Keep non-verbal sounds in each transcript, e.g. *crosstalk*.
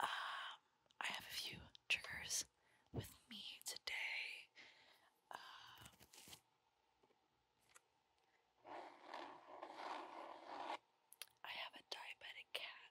Um, I have a few triggers with me today. Um, I have a diabetic cat.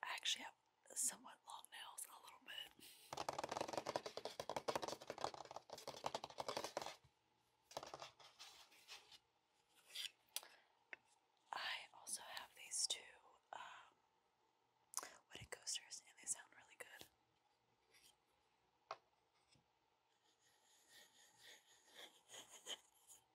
I actually have somewhat long nails, a little bit. I also have these two um, wedding coasters, and they sound really good.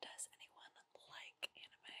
Does anyone like anime?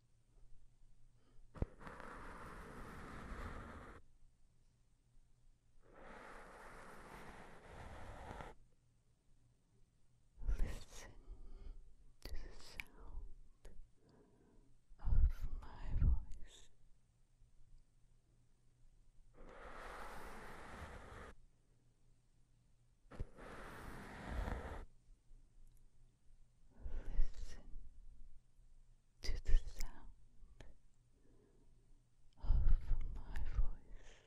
Listen to the sound of my voice. Listen to the sound of my voice.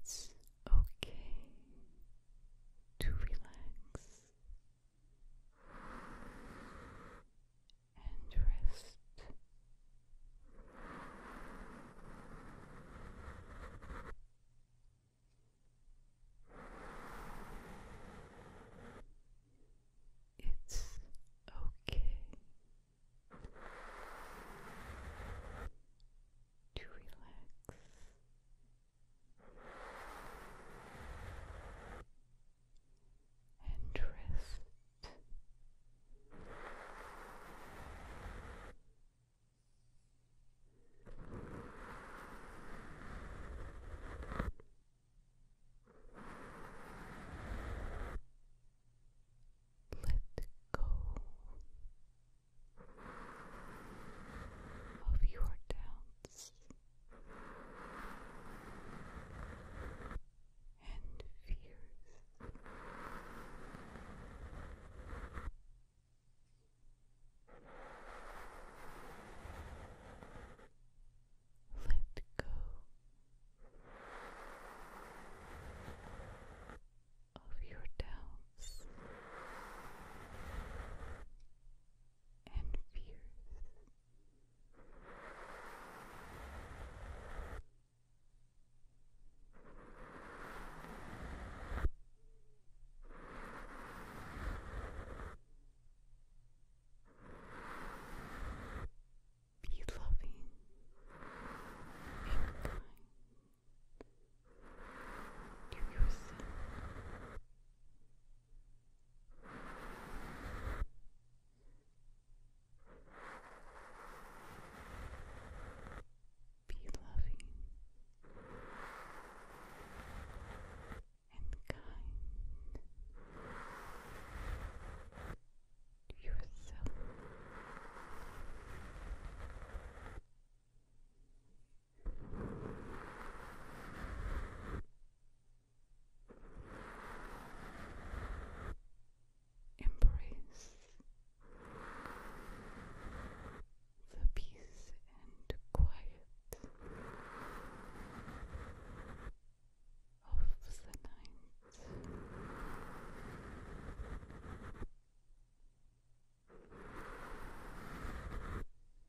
It's okay to relax and rest. It's okay to relax and rest. Let go of your doubts and fears. Let go of your doubts and fears. Be loving and kind to yourself be loving and kind to yourself. Embrace the peace and quiet of the night.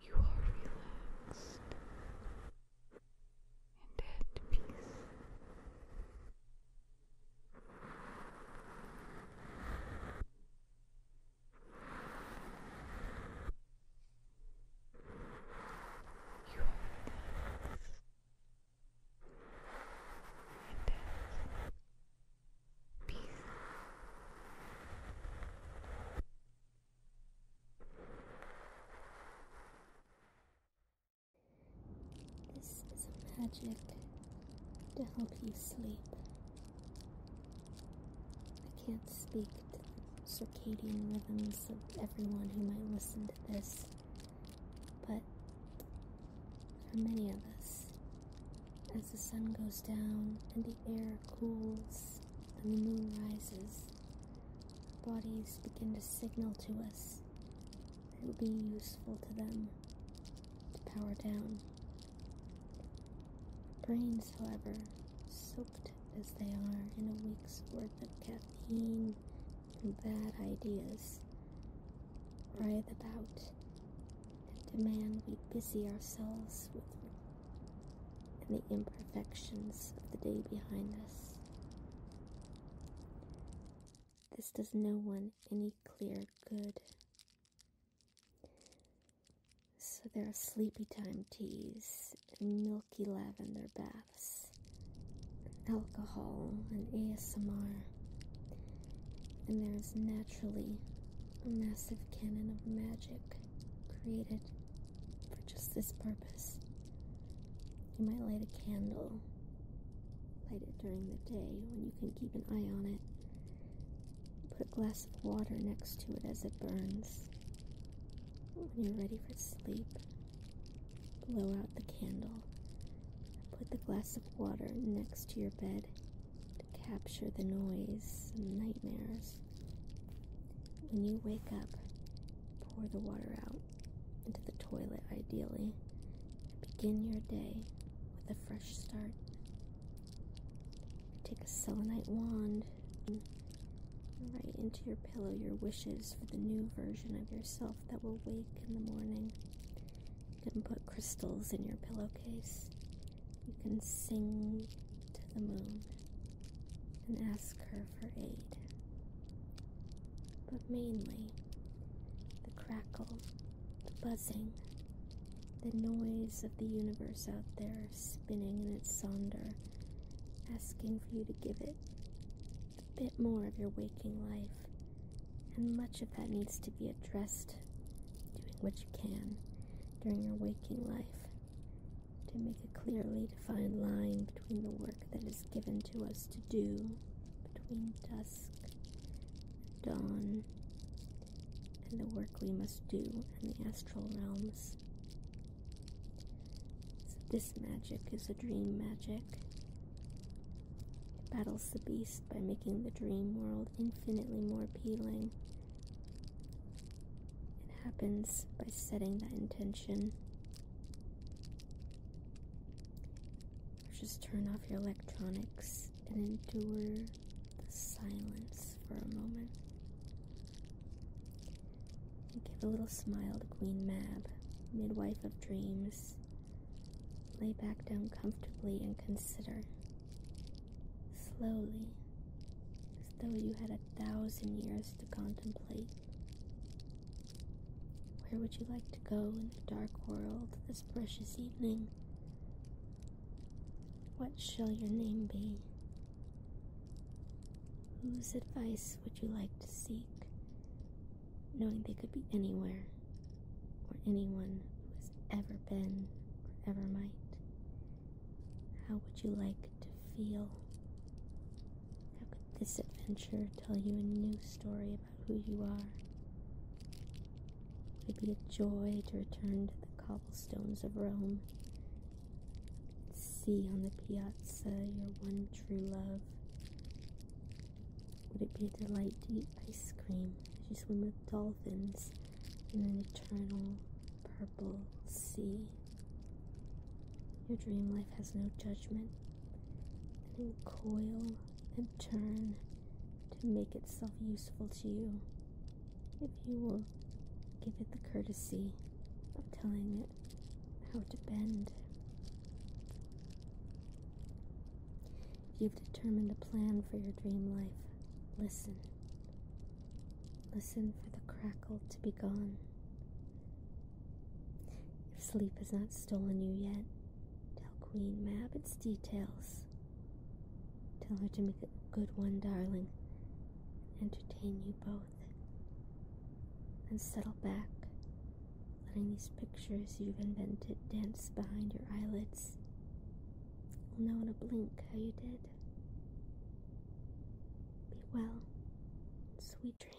You are relaxed and at peace. You are relaxed this is a magic to help you sleep. I can't speak to the circadian rhythms of everyone who might listen to this, but for many of us, as the sun goes down and the air cools and the moon rises, bodies begin to signal to us that it would be useful to them to power down. Brains, however, soaked as they are in a week's worth of caffeine and bad ideas writhe about and demand we busy ourselves with and the imperfections of the day behind us. This does no one any clear good. So there are sleepy time teas and milky lavender baths alcohol and ASMR, and there is naturally a massive cannon of magic created for just this purpose. You might light a candle, light it during the day when you can keep an eye on it. Put a glass of water next to it as it burns. When you're ready for sleep, Blow out the candle. Put the glass of water next to your bed to capture the noise and nightmares. When you wake up, pour the water out into the toilet, ideally. Begin your day with a fresh start. Take a selenite wand and write into your pillow your wishes for the new version of yourself that will wake in the morning. You can put crystals in your pillowcase. You can sing to the moon and ask her for aid. But mainly, the crackle, the buzzing, the noise of the universe out there spinning in its sonder, asking for you to give it a bit more of your waking life, and much of that needs to be addressed, doing what you can during your waking life to make a clearly defined line between the work that is given to us to do between dusk and dawn and the work we must do in the astral realms. this magic is a dream magic. It battles the beast by making the dream world infinitely more appealing. It happens by setting that intention. Or just turn off your electronics and endure the silence for a moment. And give a little smile to Queen Mab, midwife of dreams. Lay back down comfortably and consider, slowly, as though you had a thousand years to contemplate. Where would you like to go in the dark world this precious evening? What shall your name be? Whose advice would you like to seek? knowing they could be anywhere or anyone who has ever been or ever might. How would you like to feel? How could this adventure tell you a new story about who you are? Would it be a joy to return to the cobblestones of Rome? See on the piazza your one true love would it be a delight to eat ice cream as you swim with dolphins in an eternal purple sea? Your dream life has no judgment, and it will coil and turn to make itself useful to you if you will give it the courtesy of telling it how to bend. you've determined a plan for your dream life, listen. Listen for the crackle to be gone. If sleep has not stolen you yet, tell Queen Mab its details. Tell her to make a good one, darling. Entertain you both and settle back, letting these pictures you've invented dance behind your eyelids. You'll know in a blink how you did. Be well, sweet dreams.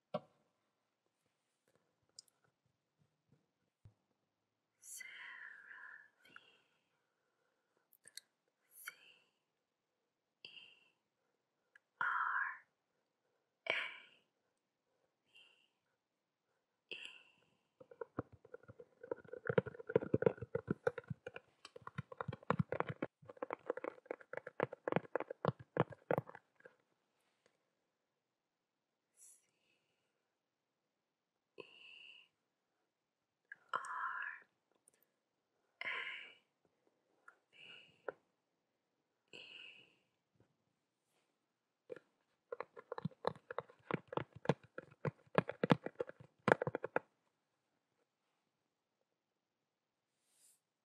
Sarah V C E R A V E C E R A V E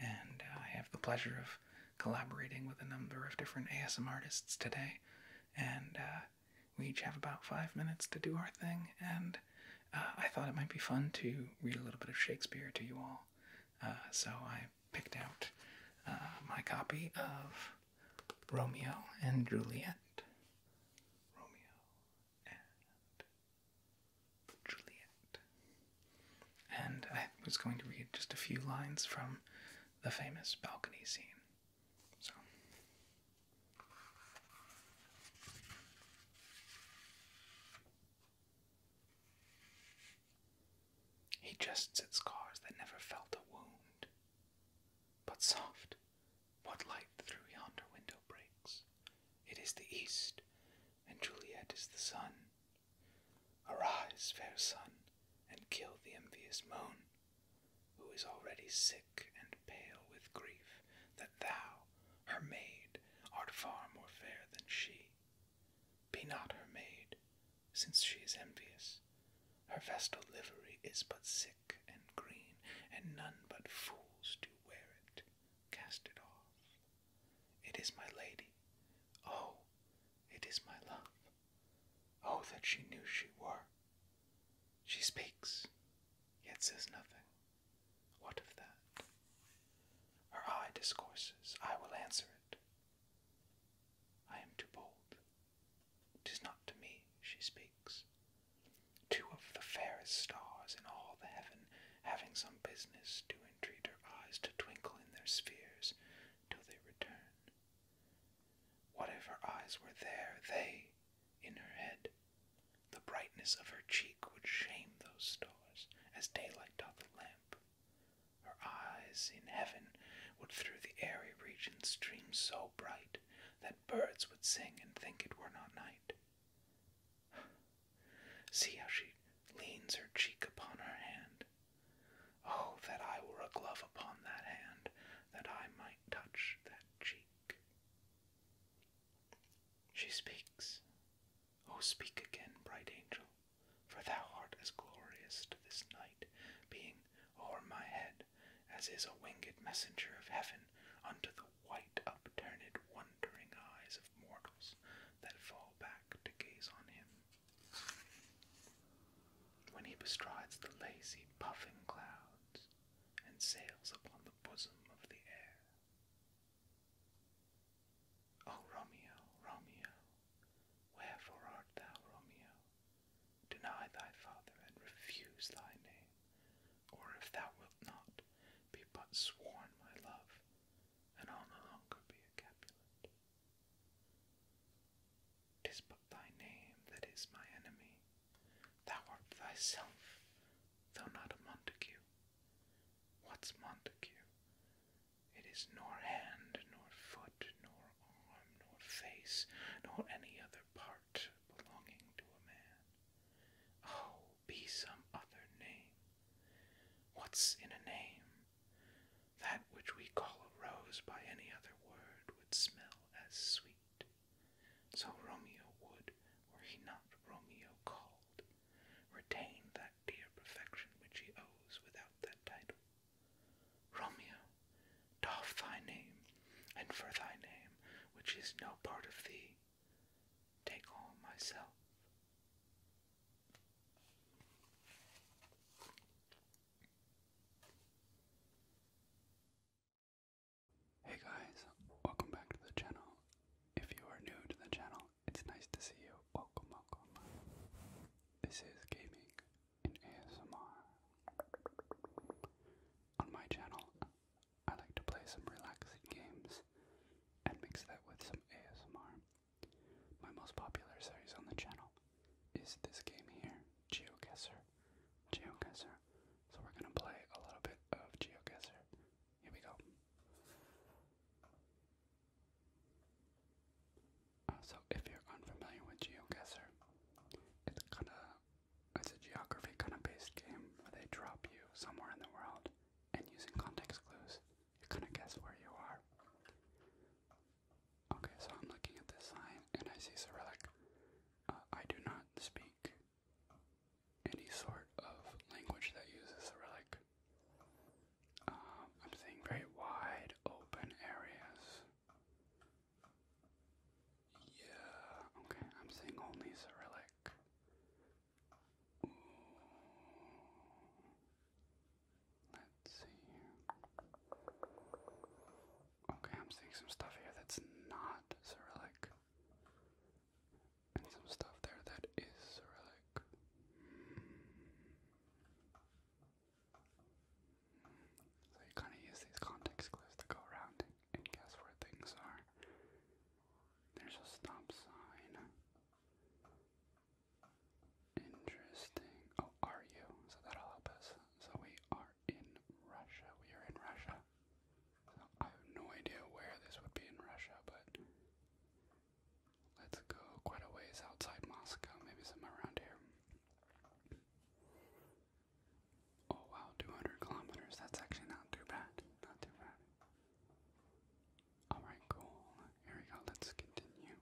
and uh, I have the pleasure of collaborating with a number of different ASM artists today, and uh, we each have about five minutes to do our thing. And uh, I thought it might be fun to read a little bit of Shakespeare to you all, so I picked out my copy of Romeo and Juliet. Juliet. And I was going to read just a few lines from the famous balcony scene. So. He jests at scars that never felt a wound. But soft, what light through yonder window breaks? It is the east, and Juliet is the sun. Arise, fair sun, and kill the envious moon, who is already sick and pale with grief that thou, her maid, art far more fair than she. Be not her maid, since she is envious. Her vestal livery is but sick and green, and none but fools do wear it. Cast it off. It is my lady. Oh, it is my love. Oh, that she knew she were. She speaks, yet says nothing. What of that? Her eye discourses. I will answer it. I am too bold. Tis not to me she speaks two of the fairest stars in all the heaven, having some business, do entreat her eyes to twinkle in their spheres till they return. What if her eyes were there, they in her head? The brightness of her cheek would shame those stars, as daylight doth a lamp. Her eyes in heaven would through the airy regions stream so bright that birds would sing and think it were not night. *sighs* See how she leans her cheek upon her hand. Oh, that I were a glove upon that hand, that I might touch that cheek. She speaks. Oh, speak again, bright angel, for thou art as glorious to this night, being o'er my head as is a winged messenger of heaven unto the white upturned wondering eyes of mortals that fall back to gaze on him. When he bestrides the lazy puffing clouds and sails upon the bosom of the air. O Romeo, Romeo, wherefore art thou Romeo? Deny thy father and refuse thy name or if thou wilt not, be but sworn my love, and I'll no longer be a Capulet. Tis but thy name that is my enemy. Thou art thyself, though not a Montague. What's Montague? It is nor hand, nor foot, nor arm, nor face, nor any other part belonging to a man. Oh, be some other name. What's in a name? That which we call a rose by any other word would smell as sweet. So Romeo would, were he not Romeo called, retain that dear perfection which he owes without that title. Romeo, doff thy name, and for thy name, which is no part of thee, take home myself. Hey guys, welcome back to the channel. If you are new to the channel, it's nice to see you. Welcome, welcome. This is Gaming in ASMR. On my channel, I like to play some relaxing games and mix that with some ASMR. My most popular series on the channel is this game here, GeoGuessr. GeoGuessr. So we're gonna play a little bit of GeoGuessr. Here we go. Uh, so if you're unfamiliar with GeoGuessr, it's kind of it's a geography kind of based game where they drop you somewhere in the world and using context clues, you kind of guess where you are. Okay, so I'm looking at this sign and I see Cyrillic. Uh, I do not speak any sort of language that uses Cyrillic. Um, I'm seeing very wide open areas. Yeah, okay, I'm seeing only Cyrillic. Let's see Okay, I'm seeing some stuff here that's not Cyrillic. And some stuff there that is Cyrillic. So you kind of use these context clues to go around and guess where things are. There's a stop sign. Interesting. Oh, are you? So that'll help us. So we are in Russia. We are in Russia. So I have no idea where this would be in Russia, but let's go quite a ways outside Moscow, maybe somewhere around here. Oh wow, 200 kilometers. That's actually not too bad. Not too bad. Alright, cool. Here we go. Let's continue.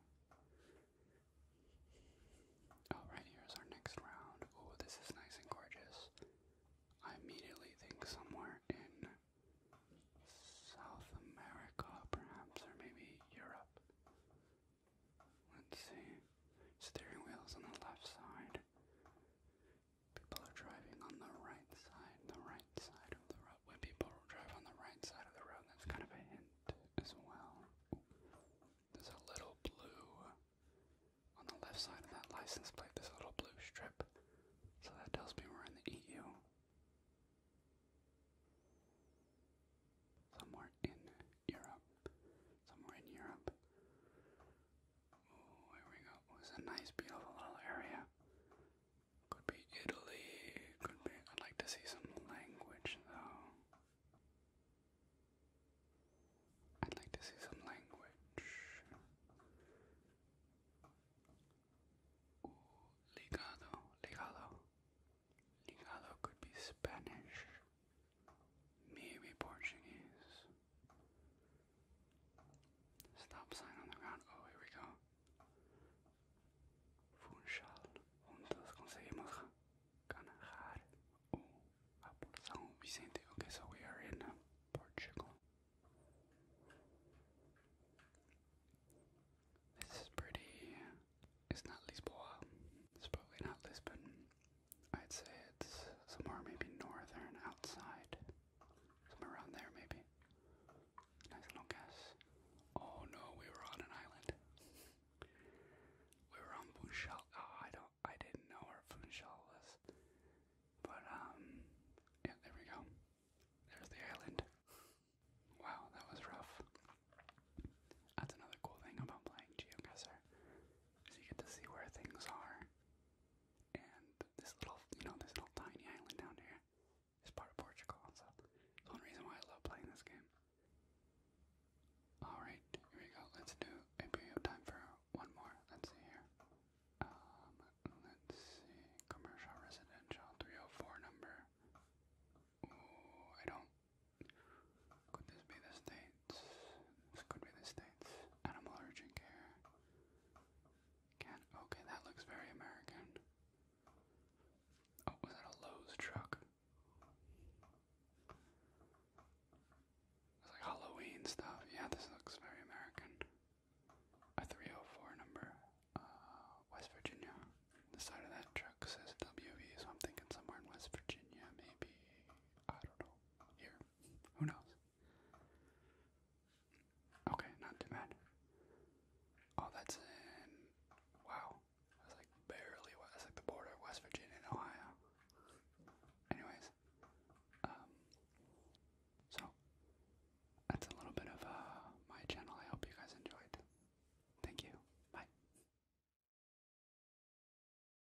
Alright, here's our next round. Oh, this is nice and gorgeous. I immediately think somewhere in South America, perhaps, or maybe Europe. Let's see. Steering wheel's on the left side. People are driving on the right side, the right side of the road. When people drive on the right side of the road, that's kind of a hint as well. There's a little blue on the left side of that license plate, there's a little blue strip. So that tells me we're in the EU. Somewhere in Europe. Somewhere in Europe. Oh, here we go. Oh, this is a nice, beautiful little area. Could be Italy. Could be. I'd like to see some language, though. I'd like to see some language. ligado, ligado. Ligado could be Spanish. Maybe Portuguese. Stop sign on the ground. Oh, here we go. Funchal. Juntos conseguimos ganar o oh, por São Vicente. Okay, so we are Portugal. This is pretty. It's not Lisboa. It's probably not Lisbon. I'd say it's somewhere maybe northern outside. Somewhere around there maybe. Nice little guess. Oh no, we were on an island. we were on Funchal. Oh, I don't I didn't know where Funchal was. But um yeah, there we go. There's the island. Wow, that was rough. That's another cool thing about playing GeoGuessr, is you get to see where things are and this little, you know, this little tiny island down here is part of Portugal. So it's one reason why I love playing this game. Alright, here we go. Let's do a period of time for one more. Let's see here. Um, let's see. Commercial, residential, 304 number. Ooh, I don't. Could this be the state? States, this could be the States, animal urgent care, can, okay, that looks very American. Oh, was that a Lowe's truck? It's like Halloween stuff, yeah, this looks very American. A 304 number, uh, West Virginia. The side of that truck says WV, so I'm thinking somewhere in West Virginia, maybe, I don't know, here. Who knows? Okay, not too bad. Oh, that's Wow. That's like barely. That's like the border of West Virginia and Ohio. Anyways, um, so that's a little bit of uh, my channel. I hope you guys enjoyed. Thank you. Bye.